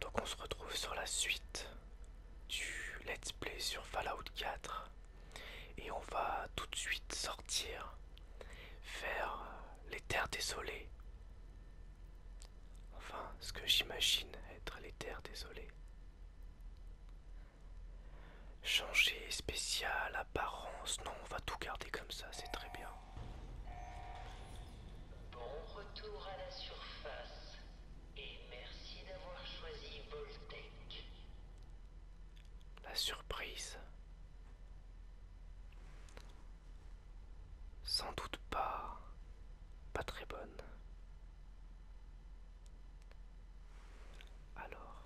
Donc on se retrouve sur la suite du let's play sur Fallout 4 et on va tout de suite sortir vers les terres désolées. Enfin, ce que j'imagine être les terres désolées. Changer spécial, apparence, non, on va tout garder comme ça, c'est très bien. Bon retour à la surface et merci d'avoir choisi Voltec. La surprise. Sans doute pas. Pas très bonne. Alors.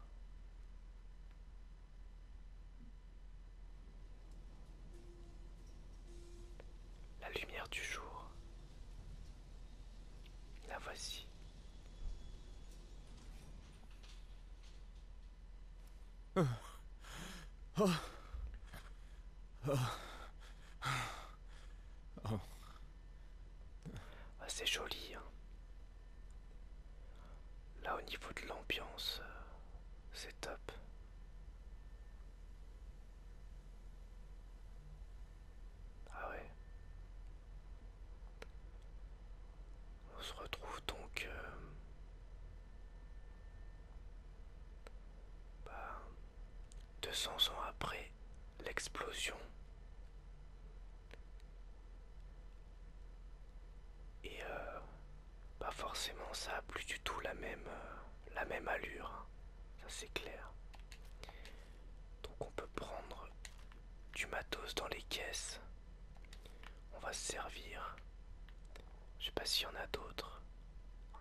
La lumière du jour, la voici. Ah, c'est joli. Hein. Là au niveau de l'ambiance, euh, c'est top. Ah ouais. On se retrouve donc... 200 euh, bah, ans après l'explosion. Et euh, pas forcément ça a plus du tout la même, euh, la même allure, hein. ça c'est clair. Donc on peut prendre du matos dans les caisses. On va se servir. Je sais pas s'il y en a d'autres.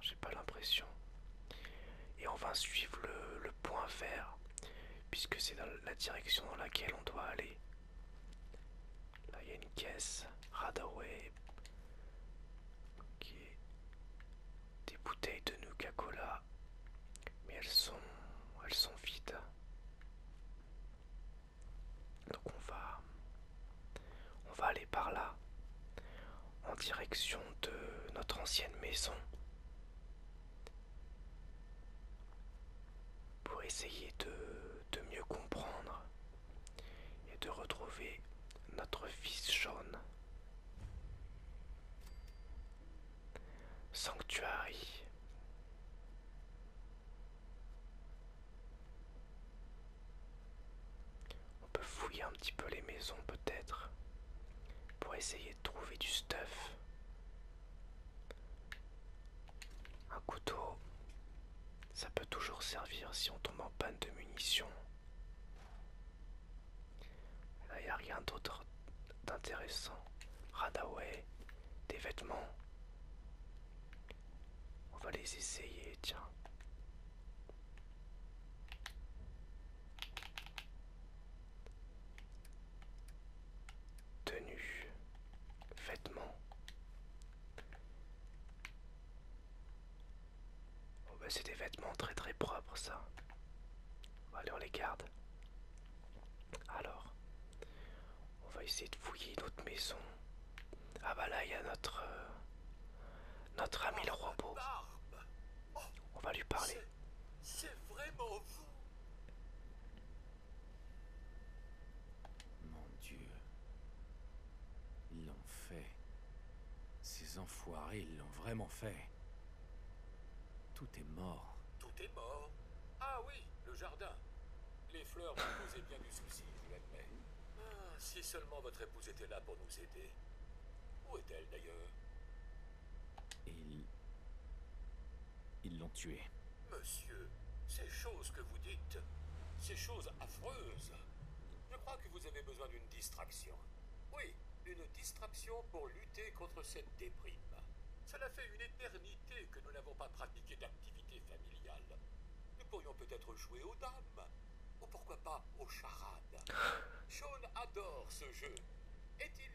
J'ai pas l'impression. Et on va suivre le, point vert. Puisque c'est dans la direction dans laquelle on doit aller. Là il y a une caisse. Radaway des bouteilles de Nuka Cola, mais elles sont, elles sont vides. Donc on va, on va aller par là, en direction de notre ancienne maison, pour essayer de mieux comprendre et de retrouver notre fils jaune. Sanctuary. On peut fouiller un petit peu les maisons peut-être pour essayer de trouver du stuff. Un couteau. Ça peut toujours servir si on tombe en panne de munitions. Là, il n'y a rien d'autre d'intéressant. Radaway, des vêtements. On va les essayer, tiens. Tenue, vêtements. Oh bah c'est des vêtements très très propres ça. Allez on les garde. Alors, on va essayer de fouiller notre maison. Ah bah là il y a notre euh, notre ami le robot. On va lui parler. C'est vraiment vous. Mon Dieu. Ils l'ont fait. Ces enfoirés, ils l'ont vraiment fait. Tout est mort. Tout est mort Ah oui, le jardin. Les fleurs vous causé bien du souci, je l'admets. Ah, si seulement votre épouse était là pour nous aider. Où est-elle d'ailleurs Ils... Ils l'ont tué. Monsieur, ces choses que vous dites, ces choses affreuses. Je crois que vous avez besoin d'une distraction. Oui, une distraction pour lutter contre cette déprime. Cela fait une éternité que nous n'avons pas pratiqué d'activité familiale. Nous pourrions peut-être jouer aux dames, ou pourquoi pas aux charades. Sean adore ce jeu. Est-il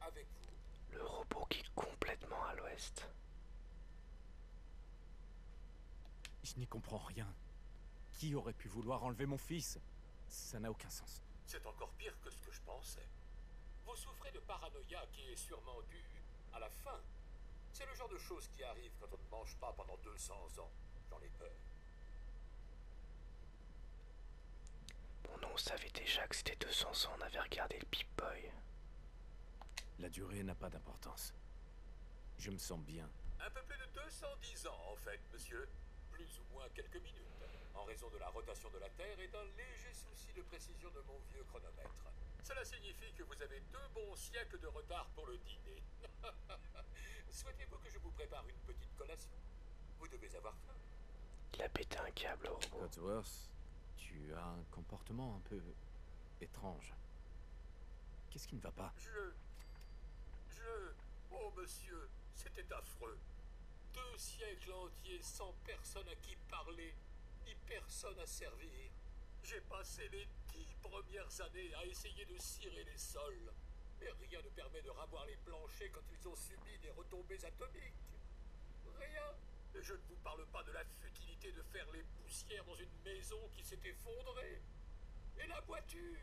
avec vous Le robot qui est complètement à l'ouest. Je n'y comprends rien. Qui aurait pu vouloir enlever mon fils Ça n'a aucun sens. C'est encore pire que ce que je pensais. Vous souffrez de paranoïa qui est sûrement due à la faim. C'est le genre de choses qui arrivent quand on ne mange pas pendant 200 ans. J'en ai peur. Bon, on savait déjà que c'était 200 ans, on avait regardé le Pip-Boy. La durée n'a pas d'importance. Je me sens bien. Un peu plus de 210 ans, en fait, monsieur. Plus ou moins quelques minutes, en raison de la rotation de la Terre et d'un léger souci de précision de mon vieux chronomètre. Cela signifie que vous avez deux bons siècles de retard pour le dîner. Souhaitez-vous que je vous prépare une petite collation Vous devez avoir faim. Il a pété un câble tu as un comportement un peu étrange. Qu'est-ce qui ne va pas Je... Je... Oh monsieur, c'était affreux. Deux siècles entiers sans personne à qui parler, ni personne à servir. J'ai passé les dix premières années à essayer de cirer les sols, mais rien ne permet de ravoir les planchers quand ils ont subi des retombées atomiques. Rien. Et je ne vous parle pas de la futilité de faire les poussières dans une maison qui s'est effondrée. Et la voiture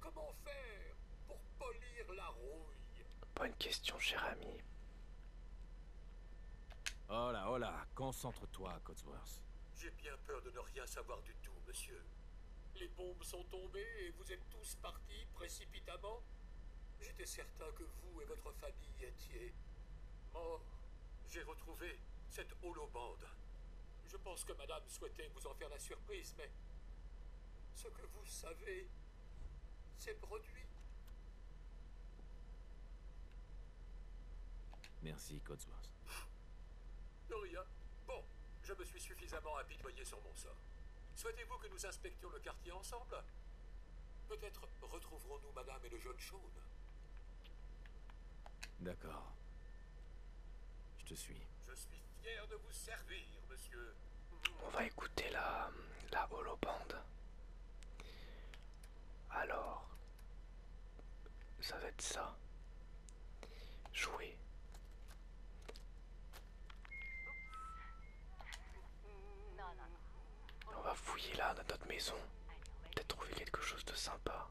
Comment faire pour polir la rouille Bonne question, cher ami. Oh là, concentre-toi, Cotsworth. J'ai bien peur de ne rien savoir du tout, monsieur. Les bombes sont tombées et vous êtes tous partis précipitamment J'étais certain que vous et votre famille étiez Oh, j'ai retrouvé cette holobande. Je pense que madame souhaitait vous en faire la surprise, mais ce que vous savez, c'est produit. Merci, Codsworth. De Bon, je me suis suffisamment apitoyé sur mon sort. Souhaitez-vous que nous inspections le quartier ensemble Peut-être retrouverons-nous Madame et le jeune chaune. D'accord. Je te suis. Je suis fier de vous servir, monsieur. On va écouter la, la holobande. Alors, ça va être ça. Jouer. On va fouiller là dans notre maison. Peut-être trouver quelque chose de sympa.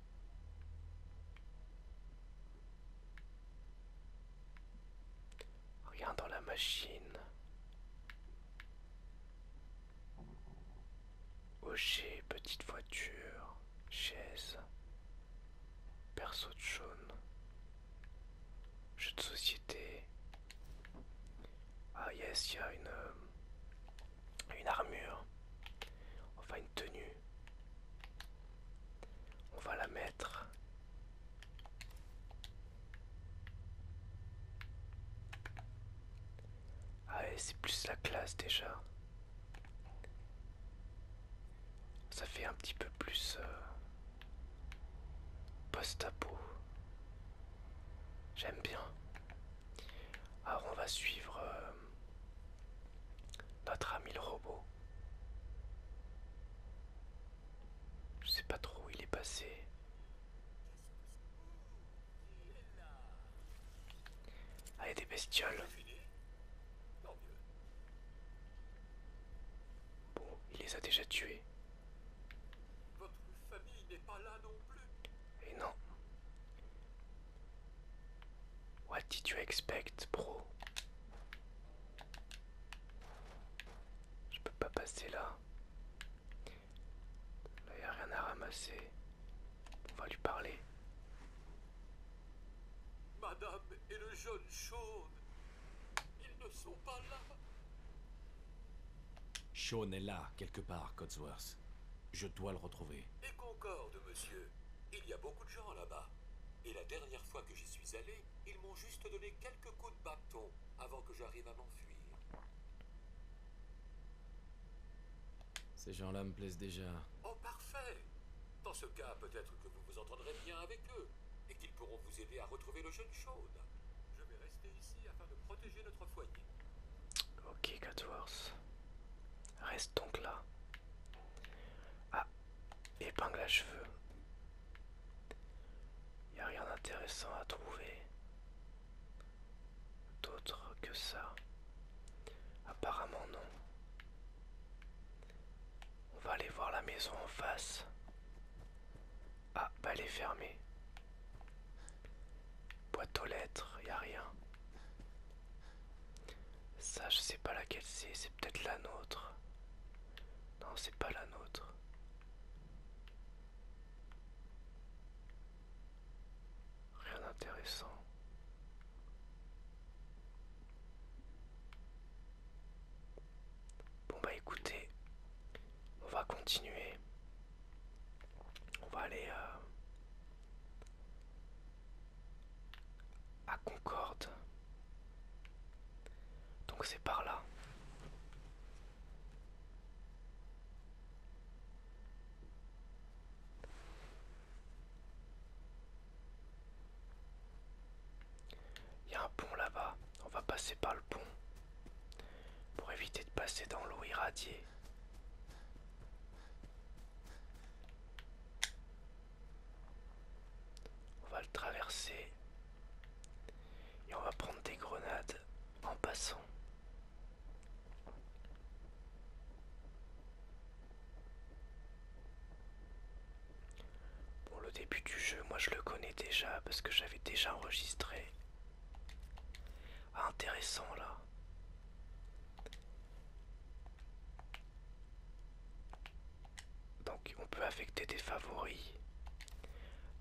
Regarde dans la machine. Hocher, petite voiture, chaise, perso de jaune, jeu de société. Ah yes, il y a une, euh, une armure, enfin une tenue on va la mettre. Ah c'est plus la classe déjà. Ça fait un petit peu plus euh, post-apo. J'aime bien. Alors on va suivre euh, notre ami le robot. Je sais pas trop où il est passé. Ah, il a des bestioles. Bon, il les a déjà tués. Votre famille n'est pas là non plus. Et non. What did you expect, bro? Je peux pas passer là. Là, n'y a rien à ramasser. On va lui parler. Madame et le jeune Sean, ils ne sont pas là. Sean est là, quelque part, Codsworth. Je dois le retrouver. Et concorde, monsieur. Il y a beaucoup de gens là-bas. Et la dernière fois que j'y suis allé, ils m'ont juste donné quelques coups de bâton avant que j'arrive à m'enfuir. Ces gens-là me plaisent déjà. Oh, parfait Dans ce cas, peut-être que vous vous entendrez bien avec eux et qu'ils pourront vous aider à retrouver le jeune chaude. Je vais rester ici afin de protéger notre foyer. Ok, Catworth. Reste donc là. Ah, épingle à cheveux. Il a rien d'intéressant à trouver. D'autre que ça. Apparemment non. On va aller voir la maison en face. Ah, bah elle est fermée. Boîte aux lettres, y a rien. Ça, je sais pas laquelle c'est. C'est peut-être la nôtre. Non, c'est pas la nôtre. Rien d'intéressant. Bon bah écoutez, on va continuer. On va aller... Euh, à Concorde. Donc c'est par là. Il y a un pont là-bas, on va passer par le pont pour éviter de passer dans l'eau irradiée. On va le traverser. Et on va prendre des grenades en passant. Pour le début du jeu, moi je le connais déjà parce que j'avais déjà enregistré. Ah, intéressant là. Donc on peut affecter des favoris.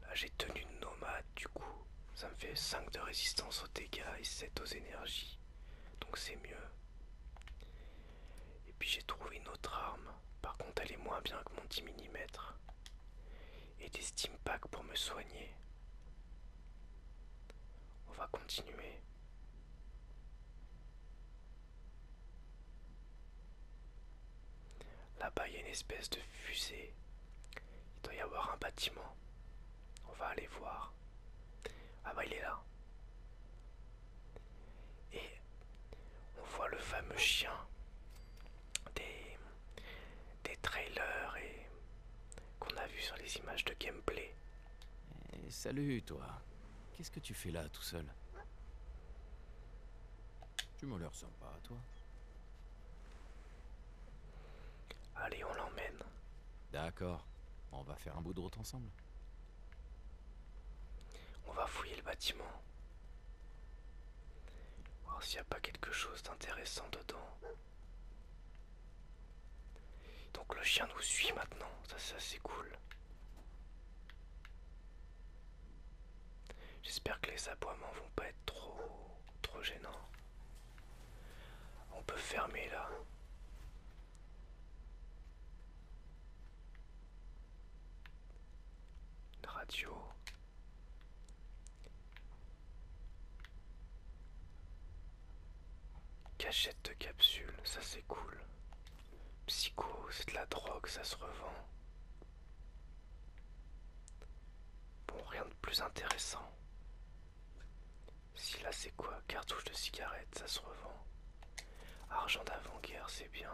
Là j'ai tenu nomade du coup. Ça me fait 5 de résistance aux dégâts et 7 aux énergies. Donc c'est mieux. Et puis j'ai trouvé une autre arme. Par contre elle est moins bien que mon 10 mm. Et des steam packs pour me soigner. On va continuer. Là-bas, il y a une espèce de fusée. Il doit y avoir un bâtiment. On va aller voir. Ah bah il est là. Et on voit le fameux chien des, trailers et qu'on a vu sur les images de gameplay. Eh, salut, toi. Qu'est-ce que tu fais là, tout seul Tu me l'air sympa, toi. Allez, on l'emmène. D'accord. On va faire un bout de route ensemble. On va fouiller le bâtiment. Voir s'il n'y a pas quelque chose d'intéressant dedans. Donc le chien nous suit maintenant, ça, ça c'est cool. J'espère que les aboiements vont pas être trop trop gênants. On peut fermer là. radio. Cachette de capsule, ça c'est cool. Psycho, c'est de la drogue, ça se revend. Bon, rien de plus intéressant. Si là c'est quoi Cartouche de cigarette, ça se revend. Argent d'avant-guerre, c'est bien.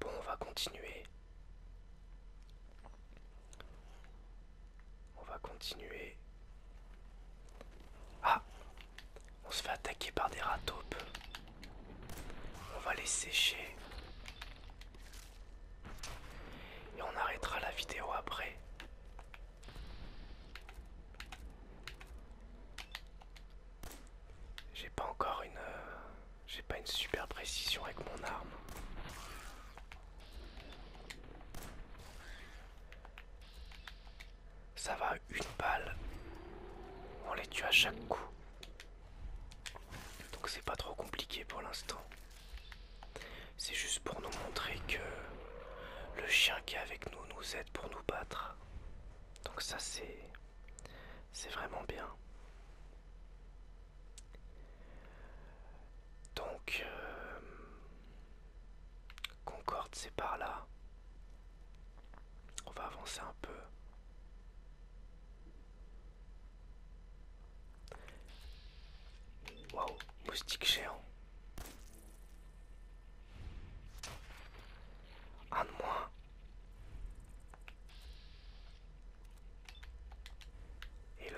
Bon, on va continuer. On va continuer. Ah On se fait attaquer par des ratopes. On va les sécher. Et on arrêtera la vidéo après. J'ai pas encore une... Euh, j'ai pas une super précision avec mon arme. Ça va, une balle. On les tue à chaque coup. Donc c'est pas trop compliqué pour l'instant. C'est juste pour nous montrer que le chien qui est avec nous nous aide pour nous battre. Donc ça c'est... C'est vraiment bien. Donc, euh, Concorde, c'est par là. On va avancer un peu. Waouh, moustique géant. Un de moins. Et le